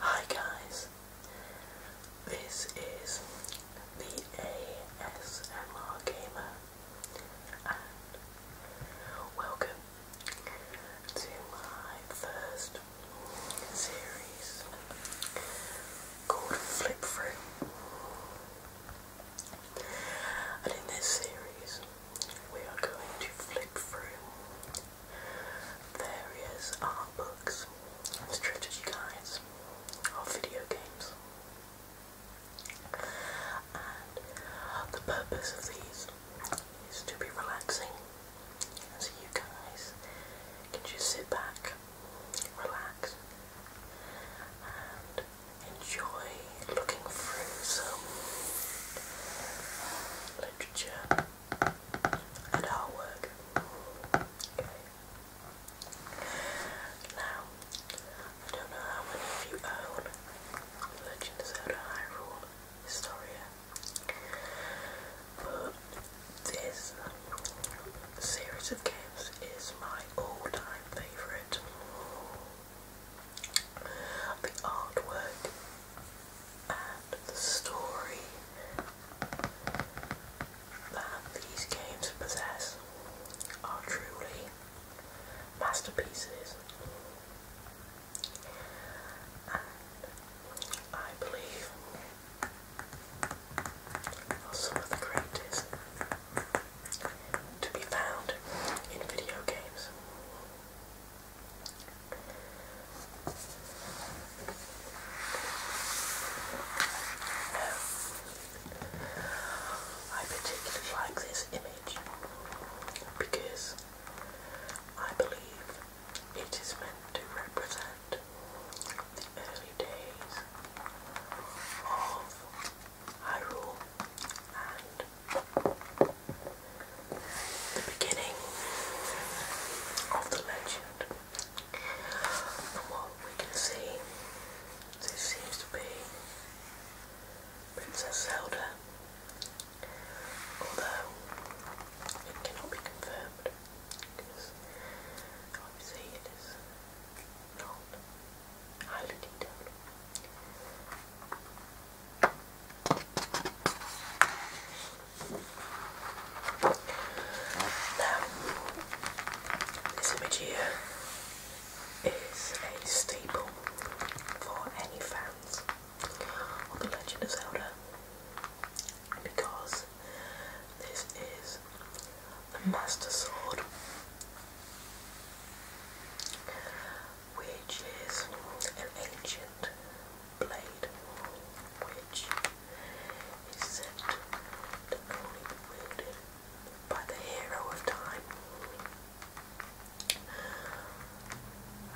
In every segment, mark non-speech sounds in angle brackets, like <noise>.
Hi guys, this is the ASMR Gamer and welcome to my first series called Flip Through. And in this series we are going to flip through various art books and strategy guides of video games. And the purpose of these is to be relaxing. And so you guys can just sit back, relax, and enjoy looking through some literature and artwork. Okay. Now, I don't know how many of you own Legend of Zelda Hyrule Historia, but this series of games is my all-time favourite. The artwork and the story that these games possess are truly masterpieces. And I believe are some of the greatest to be found in video games. I particularly like this image because I believe it is meant to represent the early days of Hyrule and the beginning of the legend. From what we can see, this seems to be Princess Zelda, although it cannot be confirmed because obviously it is not highly detailed this image here is a staple for any fans of The Legend of Zelda because this is the Master Sword which is an ancient blade which is said to only be wielded by the hero of time.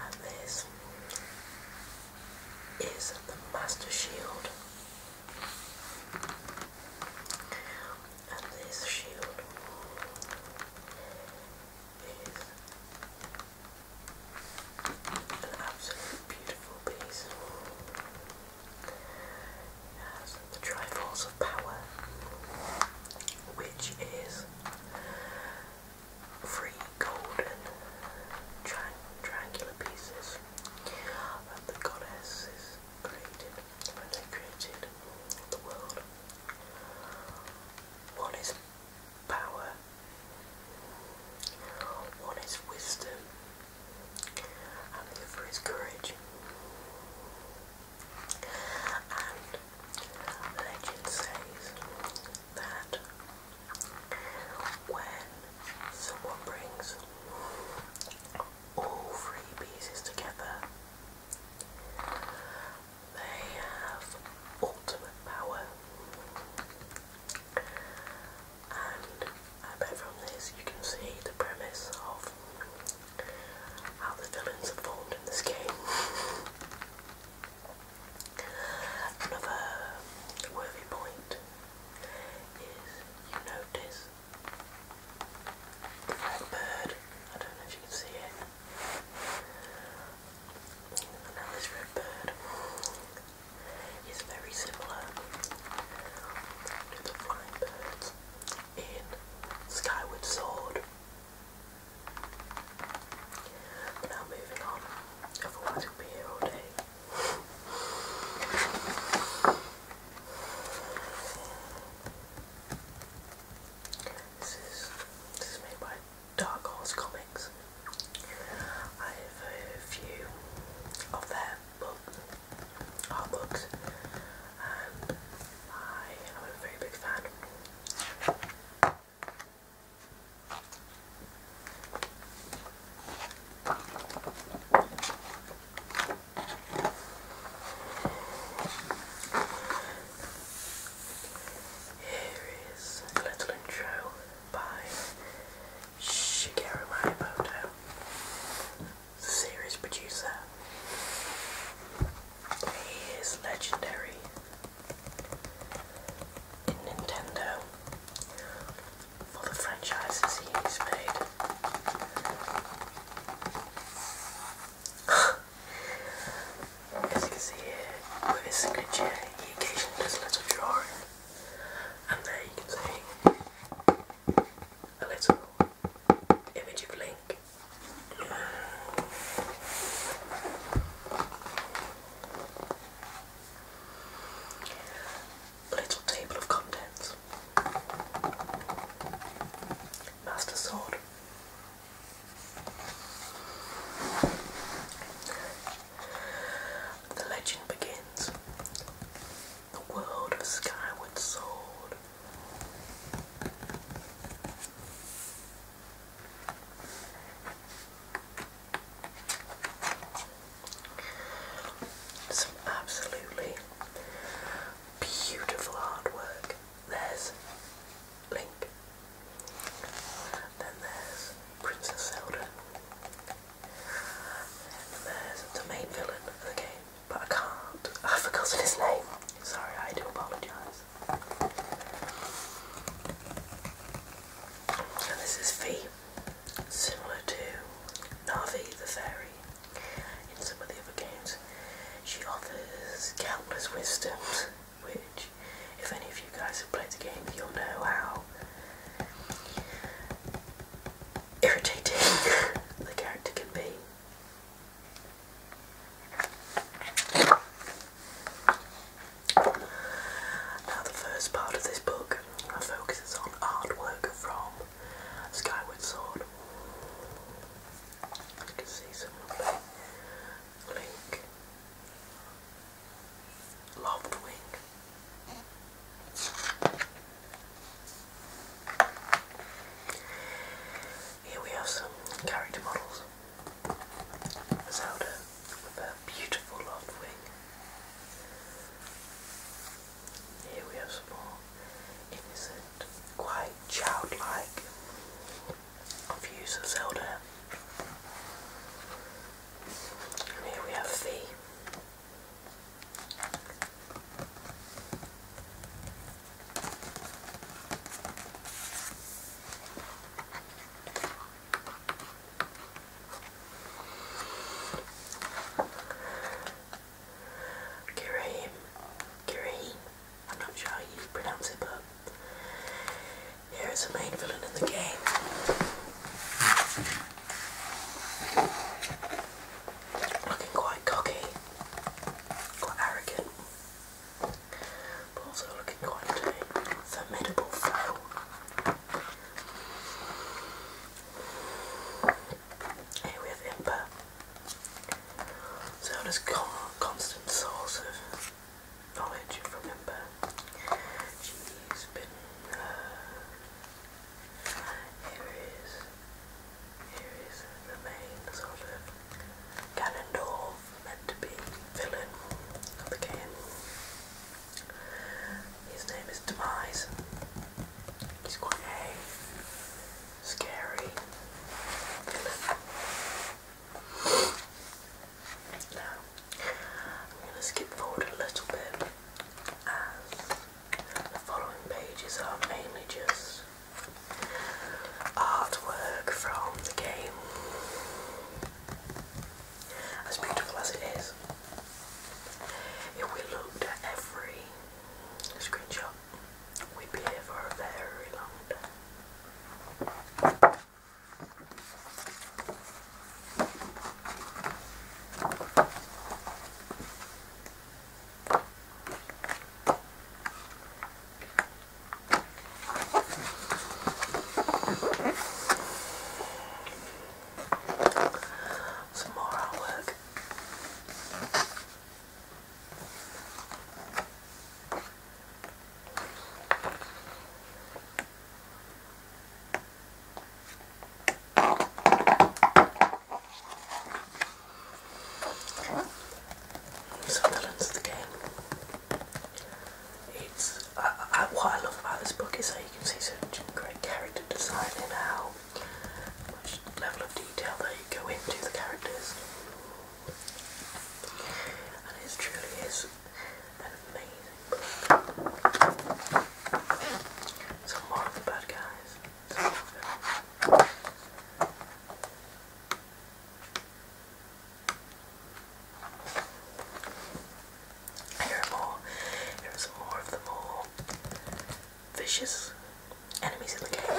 And this is the Master Shield. And this shield is an absolutely beautiful piece. It has the Triforce of Power, which is three golden triangular pieces that the goddesses created when they created the world. One power one is wisdom and the other is courage. And legend says that when someone brings all three pieces together, they have ultimate power. And from this you can see the premise of how the villains are formed in this game. <laughs> Another worthy point is you notice the red bird, I don't know if you can see it, now this red bird is very similar to the flying birds in Skyward Sword. But now moving on, otherwise we'll be here all day. This is this is made by Dark Horse Comics. I have a few of their books, art books, and I am a very big fan. Here is a little intro by Shigeru Miyamoto, the series producer. He is legendary in Nintendo for the franchises he's made. <laughs> As you can see here, with his signature, he occasionally does a little drawing. And there you can see a little image of Link. A little table of contents. Master Sword. The legend begins. The world of Skyward Sword. Some absolutely beautiful artwork. There's Link then there's Princess Zelda. And there's the main villain of but I can't. I've forgotten his name. Sorry, I do apologise. And this is Fee, similar to Navi the Fairy in some of the other games. She offers countless wisdoms which if any of you guys have played the game you'll know how irritating <laughs> the character can be. Now the first part of this book focuses on artwork from Skyward Sword. You see some Link, lobbed wing. Here we have some character models. Zelda with her beautiful loft wing. Here we have some more innocent, quite childlike views of Zelda here we have V. Kareem, Kareem, I'm not sure how you pronounce it, but here is the main villain in the game. Looking quite cocky, quite arrogant, but also looking quite formidable Here we have Impa. So this constant knowledge from Imber. She's been here uh, is here is the main sort of Ganondorf meant to be villain of the game. His name is Demise. He's quite a scary now, I'm going to skip forward a little bit as the following pages are mainly just artwork from the game. As beautiful as it is, if we looked at every screenshot, we'd be here for a very long time. Some more artwork. Sunderland's the game. It's what I love about this book is that you can see such great character design and how much level of detail they go into the characters, and it truly is an amazing book. Some more of the bad guys. Some of them. are more. Here are some more of the more vicious enemies in the game.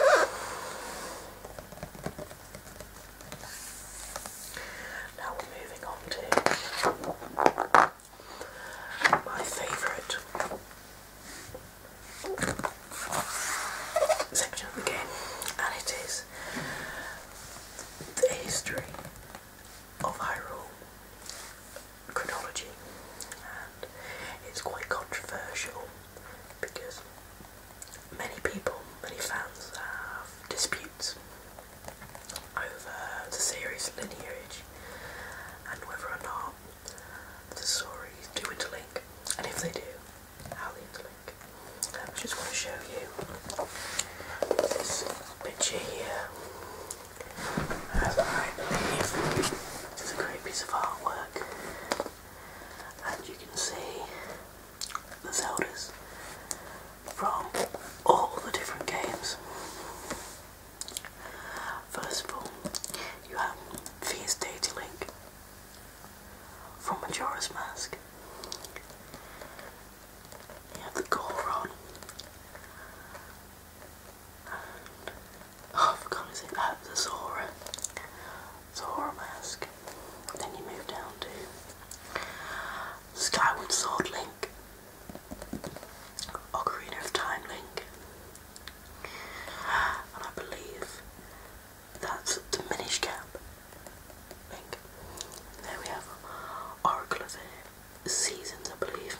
Now we're moving on to my favourite section of the game, and it is the history of Hyrule chronology, and it's quite controversial because many people, many fans have disputes over the series lineage and whether or not the stories do interlink, and if they do, how they interlink. Um, I just going to show you this picture here, as I believe this is a great piece of artwork, and you can see the Zeldas from all the different games. First of all, you have Fierce Data Link from Majora's Mask. You have the Goron. oh, I forgot his name, uh, Mask. Then you move down to Skyward Sword Link like of Time Link. And I believe that's the Minish Cap Link. There we have Oracle of Seasons, I believe.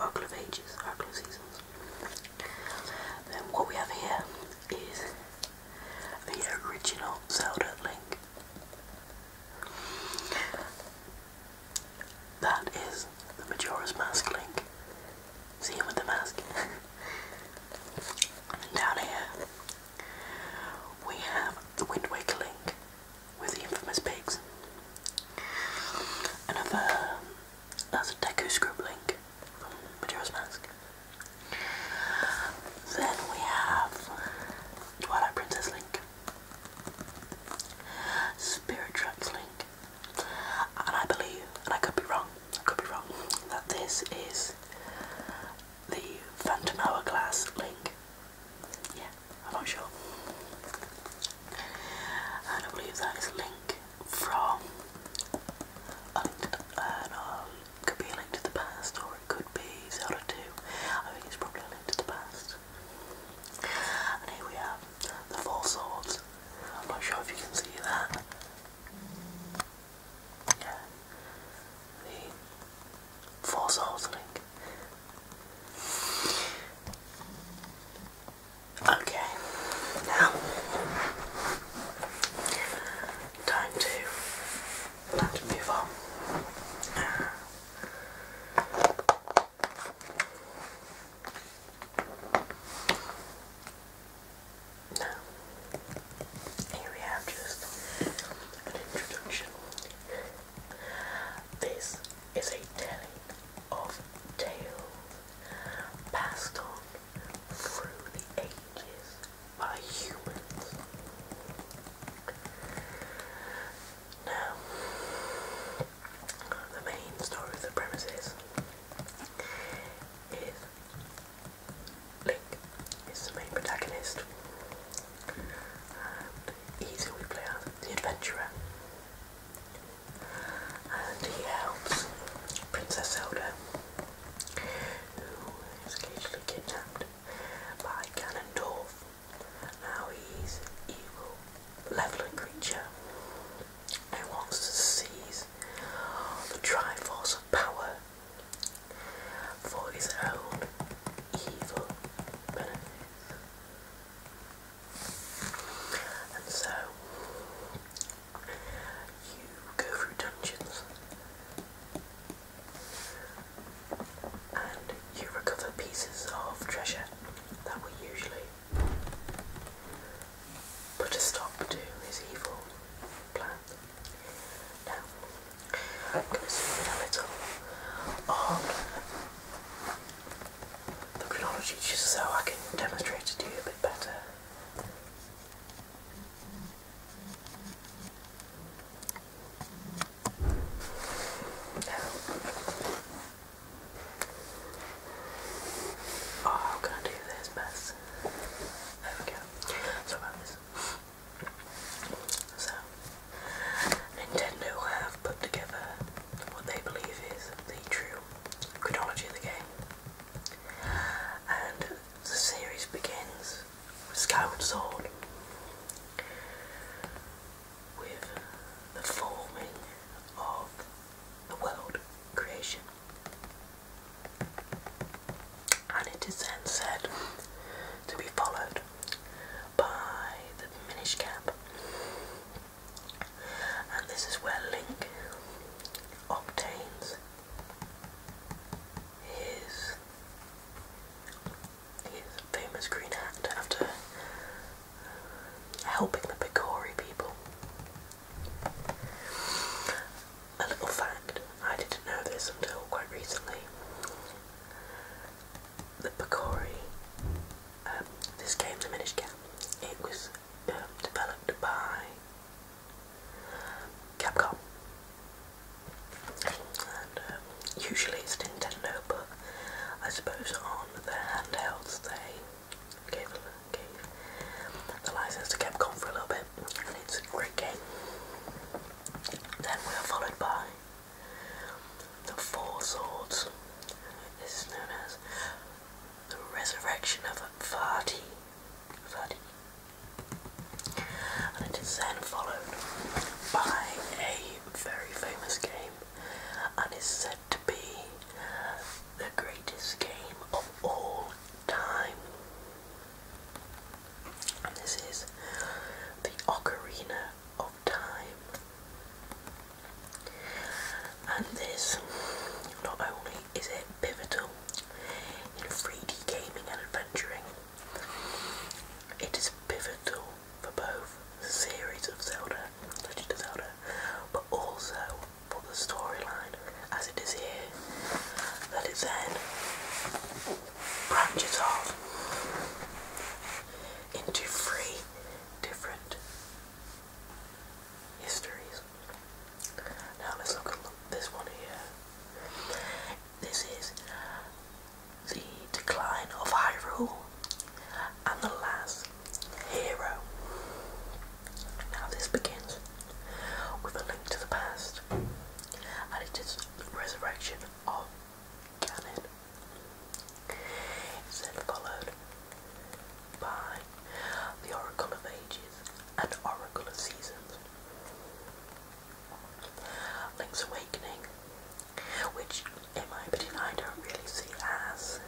Oracle of Ages, Oracle of Seasons. Then what we have here is the original Zelda Link. That is the Majora's Mask link. See him with the mask. and <laughs> down here, we have the Wind Waker link with the infamous pigs. Another, that's a Deku Scrub link from Majora's Mask. Then we have Twilight Princess link. Spirit Tracks link. And I believe, and I could be wrong, I could be wrong, that this is the Phantom Hourglass link. Yeah, I'm not sure. And I believe that is link from um, a link to the, past or it could be Zelda 2. I think it's probably a link to the past. And here we have the Four Swords. I'm not sure if you can see that. Yeah. The Four Swords link. Okay, now time to time to move on here we have just an introduction. This is a telling of tales passed on through the ages by humans. Now, the main story of the premises is Link is the main protagonist, he's who we play the adventurer, and he helps Princess Zelda, who is occasionally kidnapped by Ganondorf. Now he's evil, leveling creature and wants to seize the Triforce of Power for his own evil benefit. And so you go through dungeons and you recover pieces of treasure that will usually put a stop to his evil plan. Now, I'm going to zoom in a little on the chronology just so I can demonstrate to you a bit better. Oh, how can I do this best? There we go. So about this. So Nintendo have put together what they believe is the true chronology of the game. And the series begins with Skyward Sword with the forming of the world creation. And it is then said to be followed by the Minish Cap. And this is where Link obtains his He's famous Green Hat after helping the Picori people. A little fact, I didn't know this until quite recently. The Picori, um, this game, The Minish it was um, developed by Capcom. Um, usually it's Nintendo, but I suppose on the handhelds they gave, gave the license to Capcom for a little bit, and it's a great game. Then we are followed by the Four Swords. This is known as the Resurrection of Vardy. Vardy. And it is then followed by a very famous game and is said to be the greatest game of all time. this is the Ocarina of Time. And this, not only is it pivotal in 3D gaming and adventuring, it is pivotal for both the series of Zelda, Legend of Zelda, but also for the storyline as it is here, that it then branches off into three different histories. Now let's look at this one here. This is the Decline of Hyrule, and The Last Hero. Now, this begins with a link to the past, and it is the resurrection of Ganon. It's then followed by the Oracle of Ages and Oracle of Seasons. Link's Awakening which in my opinion I don't really see as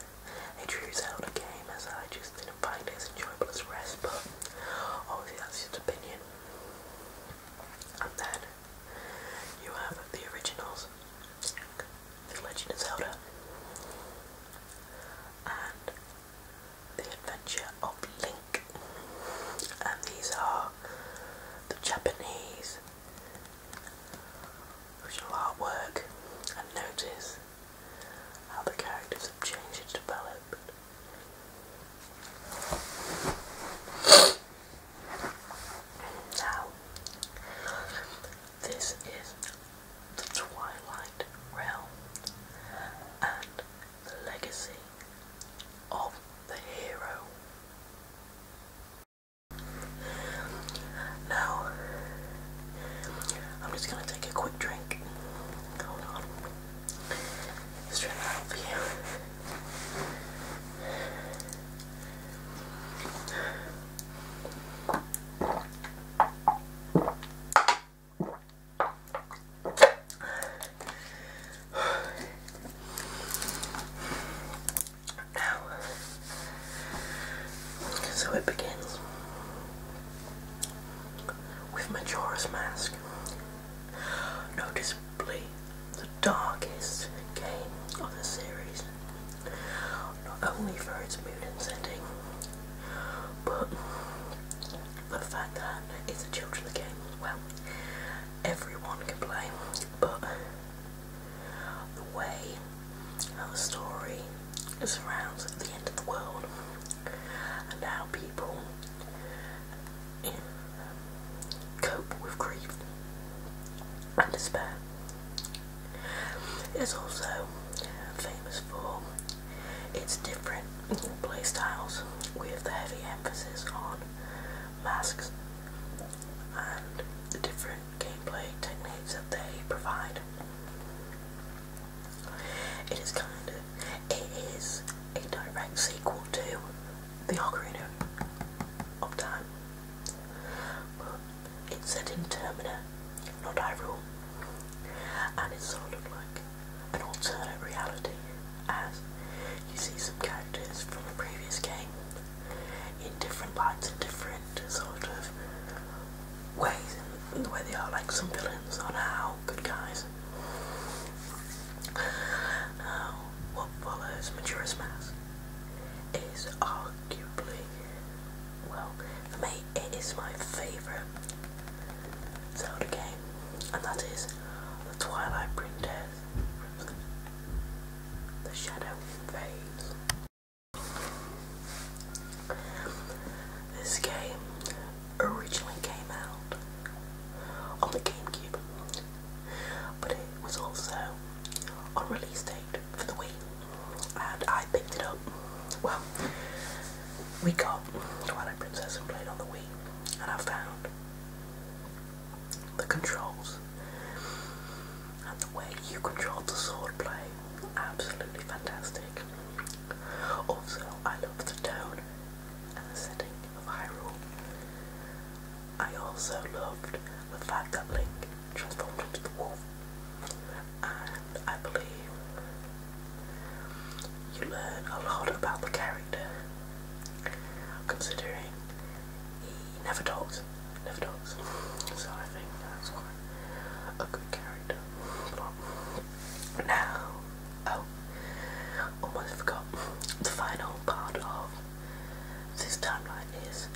a true Zelda game as I just didn't find it as enjoyable as rest but obviously that's your opinion. And then you have the originals, The Legend of Zelda and The Adventure of Link and these are the Japanese we artwork and notice how the characters have changed and developed. Now, this is the Twilight Realm and the legacy of the hero. Now, I'm just gonna take a quick drink. Hold on. Straighten that for you. Now, so it begins with Majora's Mask. Noticeably the darkest game of the series, not only for its mood and setting, but the fact that it's a children's game. Well, everyone can play, but the way how the story is around the end of the world and how people cope with grief and despair. It's also famous for its different play styles with the heavy emphasis on masks and the different gameplay techniques that they provide. It is kind of, it is a direct sequel to The Ocarina of Time, it's set in Termina, not Hyrule, and it's sort of like an alternate reality as you see some characters from the previous game in different parts and different sort of ways and way they are like some villains or now good guys. Now, what follows Majora's Mask is arguably, well, for me it is my favourite Zelda game, and that is The Twilight Princess. The shadow fades. This game originally came out on the GameCube, but it was also on release date for the Wii, and I picked it up. Well, we got Twilight Princess and played on the Wii, and I found the controls and the way you control the sword play, absolutely fantastic. Also, I love the tone and the setting of Hyrule. I also loved the fact that Link transformed into the wolf, and I believe you learn a lot about the character, considering he never talks. Never talks. So I think that's quite a good character. But now, oh, almost forgot. The final part of this timeline is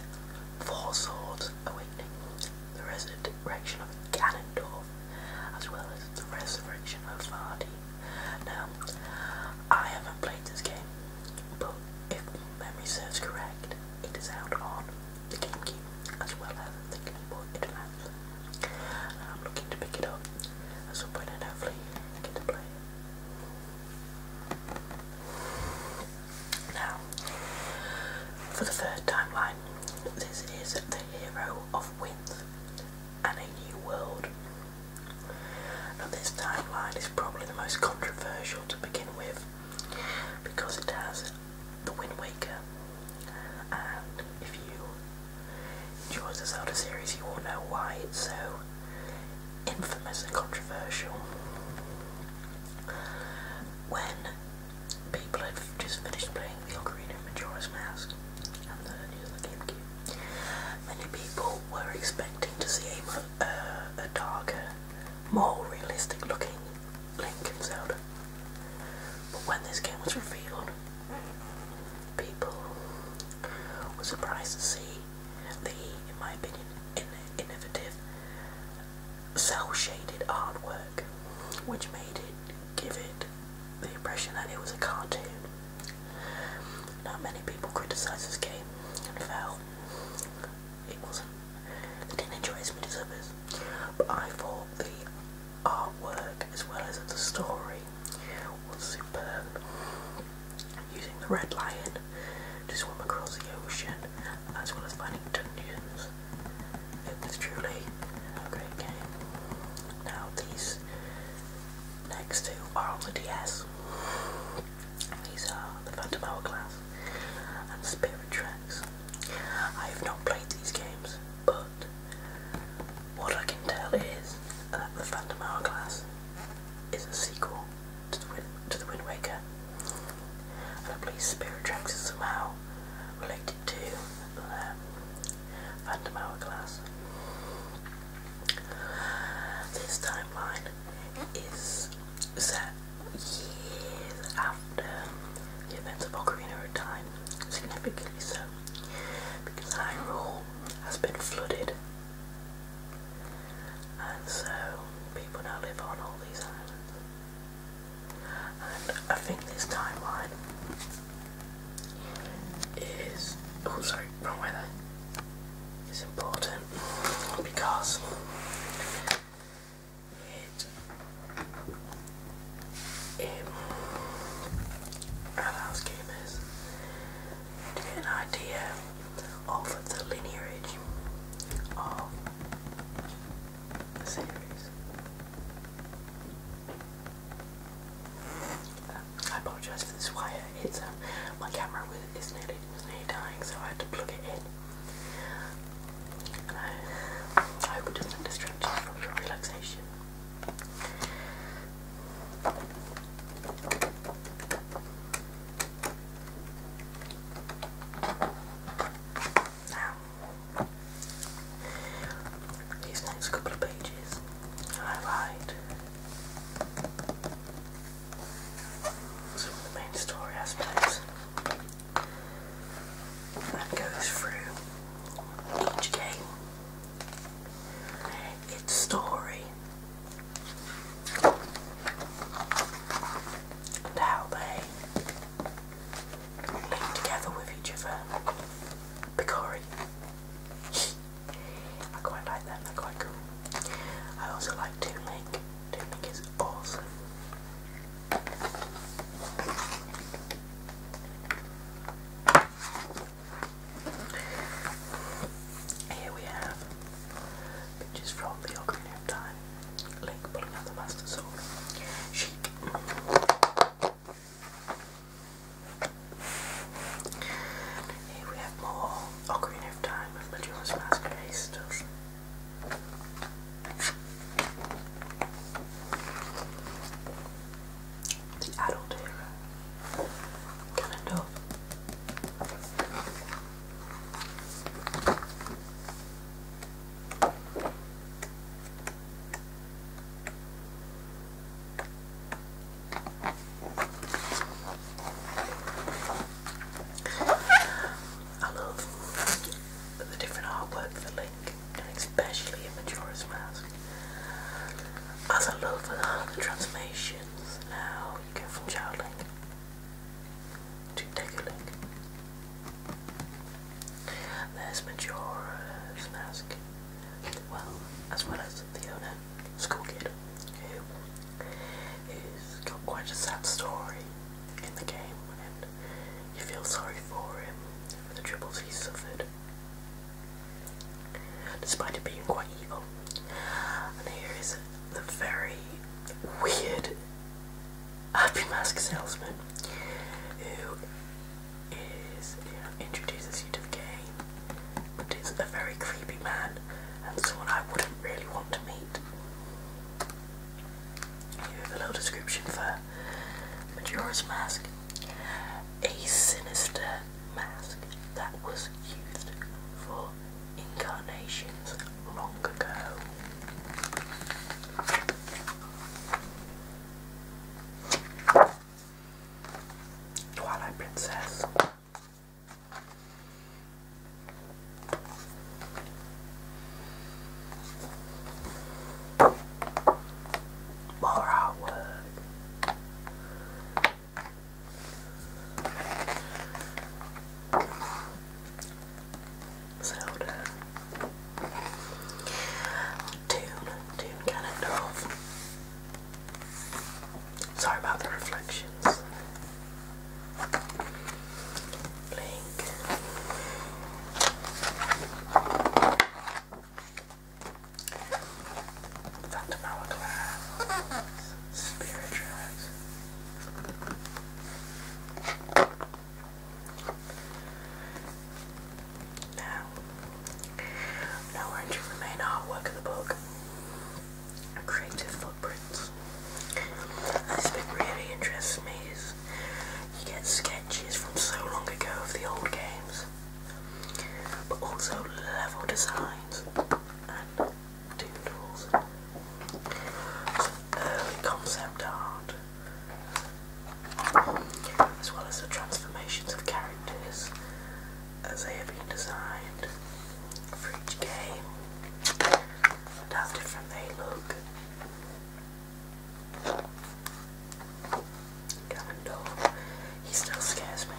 Four Swords Awakening, the resurrection of Ganondorf, as well as the resurrection of Vardy. Now, I haven't played this game, but if memory serves correct, it is out on the GameCube as well as the Game Boy Advance. And I'm looking to pick it up at some point and hopefully get to play it. Now, for the third timeline, this is the Hero of Winds and a New World. Now, this timeline is probably the most controversial to begin with because it has the Wind Waker. And if you enjoy the Zelda series, you will know why it's so infamous and controversial. When people have just finished playing the Ocarina of Majora's Mask and the news on the many people were expecting to see a uh, darker, more realistic looking Lincoln Zelda. But when this game was revealed, people were surprised to see the, in my opinion, innovative, cell-shaded artwork, which made it give it the impression that it was a cartoon. Not many people criticised this game and felt it wasn't they didn't interest me to suppers, but I thought the artwork as well as the story was superb. Using the red lion to swim across the ocean as well as finding dungeons. It was truly a great game. Now these next two are on the DS. These are the Phantom Hourglass Spirit Tracks. I have not played these games, but what I can tell is that the Phantom Hourglass is a sequel to the, Wind, Waker, and I believe Spirit Tracks is somehow related to um, Phantom Hourglass. This timeline is set years after the events of Ocarina of Time, significantly so, because Hyrule has been flooded, and so people now live on all these islands. And I think this timeline is oh sorry, wrong way there. It's important because it, um, allows gamers to get an idea of the lineage of the series. I apologise for this wire. It's um, my camera is nearly dying, so I had to plug it in. And I, hope it doesn't distract from your relaxation. these next couple of pages, I write some the main story aspects and goes through each game, its story, and how they link together with each other. Picori. <laughs> I quite like them, they're quite cool. I also like to Link. Technic is awesome. Here we have pictures from the Ocarina of Time. Link pulling out the Master Sword. Sheik. Here we have more Ocarina of Time with Majora's Mask still the adult era, kind I love but the different artwork for Link, and especially in Majora's Mask. As I love the transformations, now you go from Child Link to Deku Link. There's Majora's Mask, well, as well as the owner, School Kid, who has got quite a sad story in the game you feel sorry for him, for the troubles he suffered, despite it being quite evil. And here is the very weird happy mask salesman who is you know, introduces you to the game, but is a very creepy man and someone I wouldn't really want to meet a little description for Majora's Mask. A sinister mask that was used for incarnations long ago. Twilight Princess. More hard work. Tune, tune cannon Sorry about the reflections blink. Dr. Malachi, Spirit Tracks. Now, nowhere to remain artwork in the book. Creative footprints. This really interests me is you get sketches from so long ago of the old games, but also level designs and early concept art, as well as the transformations of characters as they have been designed for each game and how different they look. Even he still scares me.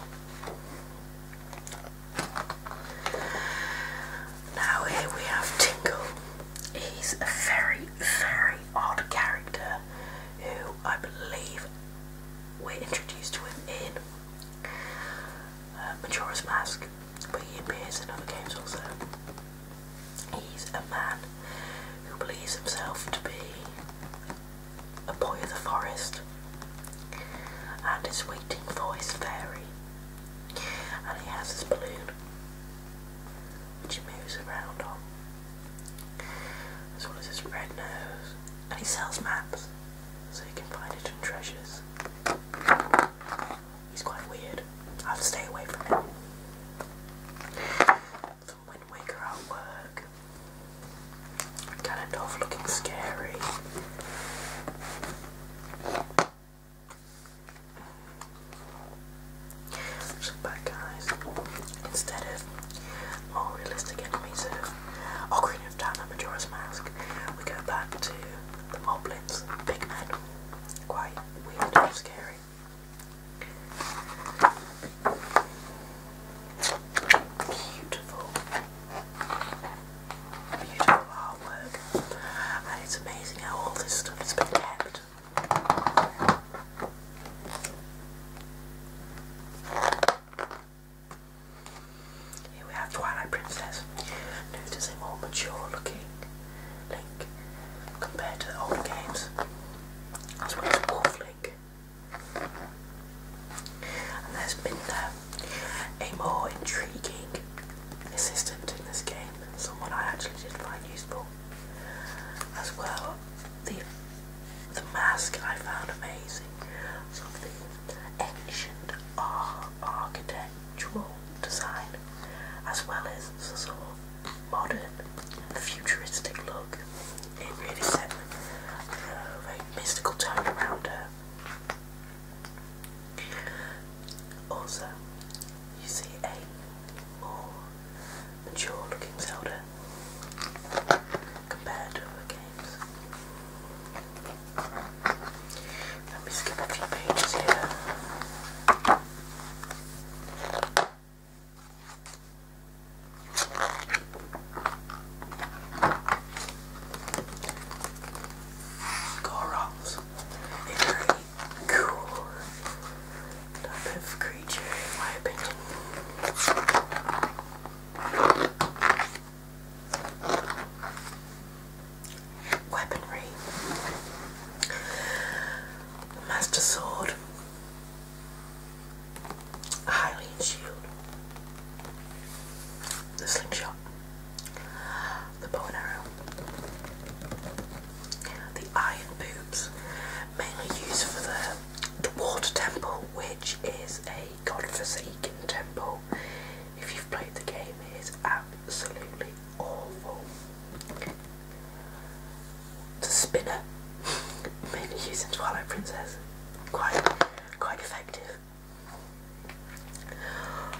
Now here we have Tingle. He's a very, very odd character who I believe we're introduced to him in uh, Mask, but he appears in other games also. He's a man who believes himself to be a boy of the forest and is waiting for his fairy. And he has his balloon, which he moves around on, as well as his red nose. And he sells maps so he can find hidden treasures. He's quite weird. I have to stay away from him. From Wind Waker at Ganondorf looking scary. Just back guys. Instead of more realistic enemies of of Time Majora's Mask, we go back to the Moblins, big men. Quite weird and scary. Beautiful, beautiful artwork, and it's amazing how all this stuff has been kept. Here we have Twilight Princess. Notice they're more mature looking Link compared to the older games, as well as Wolf Link. And there's Minda, a more intriguing assistant in this game, someone I actually did find useful. As well, the the mask I found amazing, sort of the ancient ar architectural design, as well as sort of modern, futuristic look. It really set a very mystical tone around her. Also, you see a more mature looking Zelda compared to other games. Let me skip a few pages here. Gorals, a very cool type of creature in my opinion. Weaponry. The Master Sword, the Hylian Shield, the Slingshot, the Bow and Arrow, the Iron Boobs, mainly used for the, Water Temple, which is a godforsaken temple. If you've played the game, it is absolutely awful. It's a spinner, mainly using Twilight Princess. Quite, quite effective.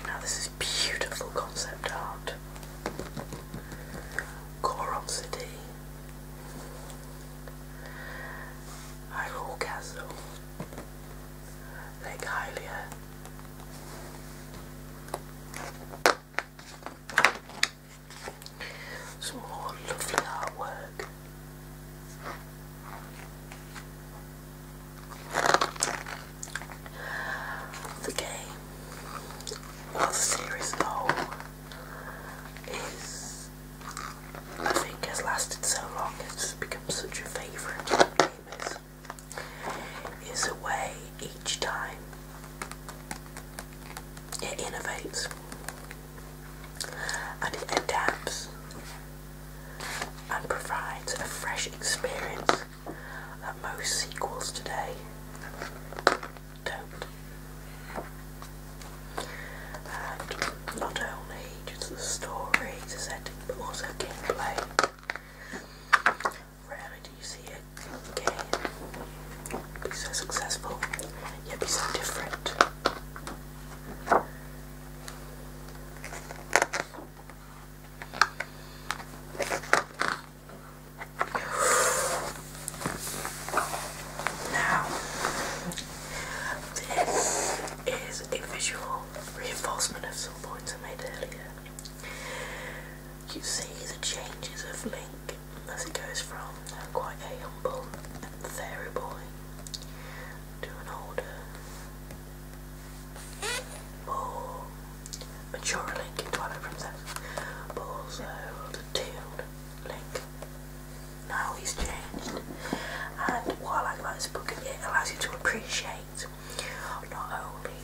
Now this is beautiful concept art. Goron City. Hyrule Castle. Lake Hylia. Some more lovely artwork. The game, or the series as a whole, is, I think, has lasted so long, it's become such a favourite of gamers. a way each time it innovates and it adapts and provides a fresh experience that most sequels today don't. And not only just the story, the setting, but also gameplay. Rarely do you see a game be so successful, yet be so different. Now, this is a visual reinforcement of some points I made earlier. You see the changes of Link as he goes from uh, quite a humble and fairy boy to an older, more mature Link in Twilight Princess, but also the Link. Now he's changed, and what I like about this book, it allows you to appreciate not only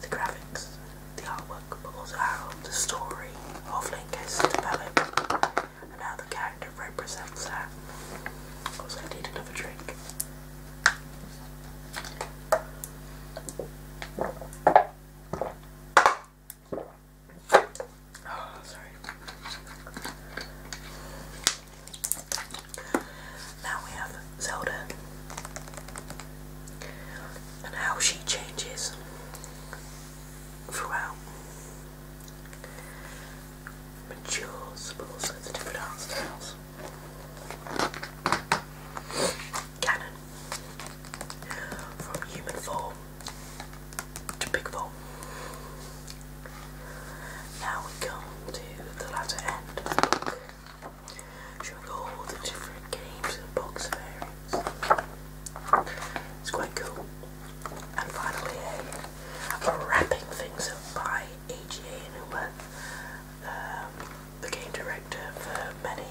the graphics, the artwork, but how the story of Link has developed and how the character represents that. Also, I need another drink. Oh, sorry. Now we have Zelda and how she changes throughout. Matures, but also the different art Canon. From human form to big form. Now we come to the latter end all the different games and box variants. It's quite cool. And finally, wrapping things up by AGA Numa, um, the game director for many.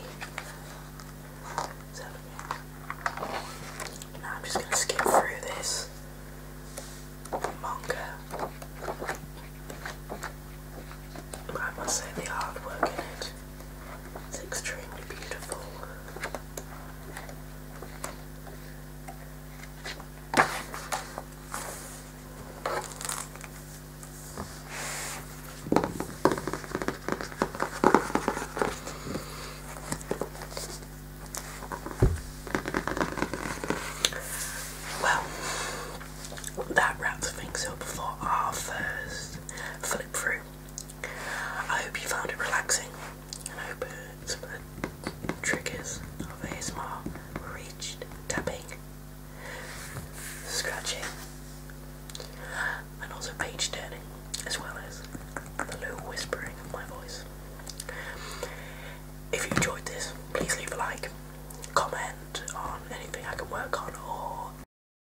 now I'm just going to skip through this manga. I must say the hard work in it it's extremely beautiful. Well, that wraps things up for our first flip through. I hope you found it relaxing and I hope some of the triggers of ASMR were reached. Tapping, scratching, and also page turning, as well as the low whispering of my voice. If you enjoyed this, please leave a like, comment on anything I can work on, or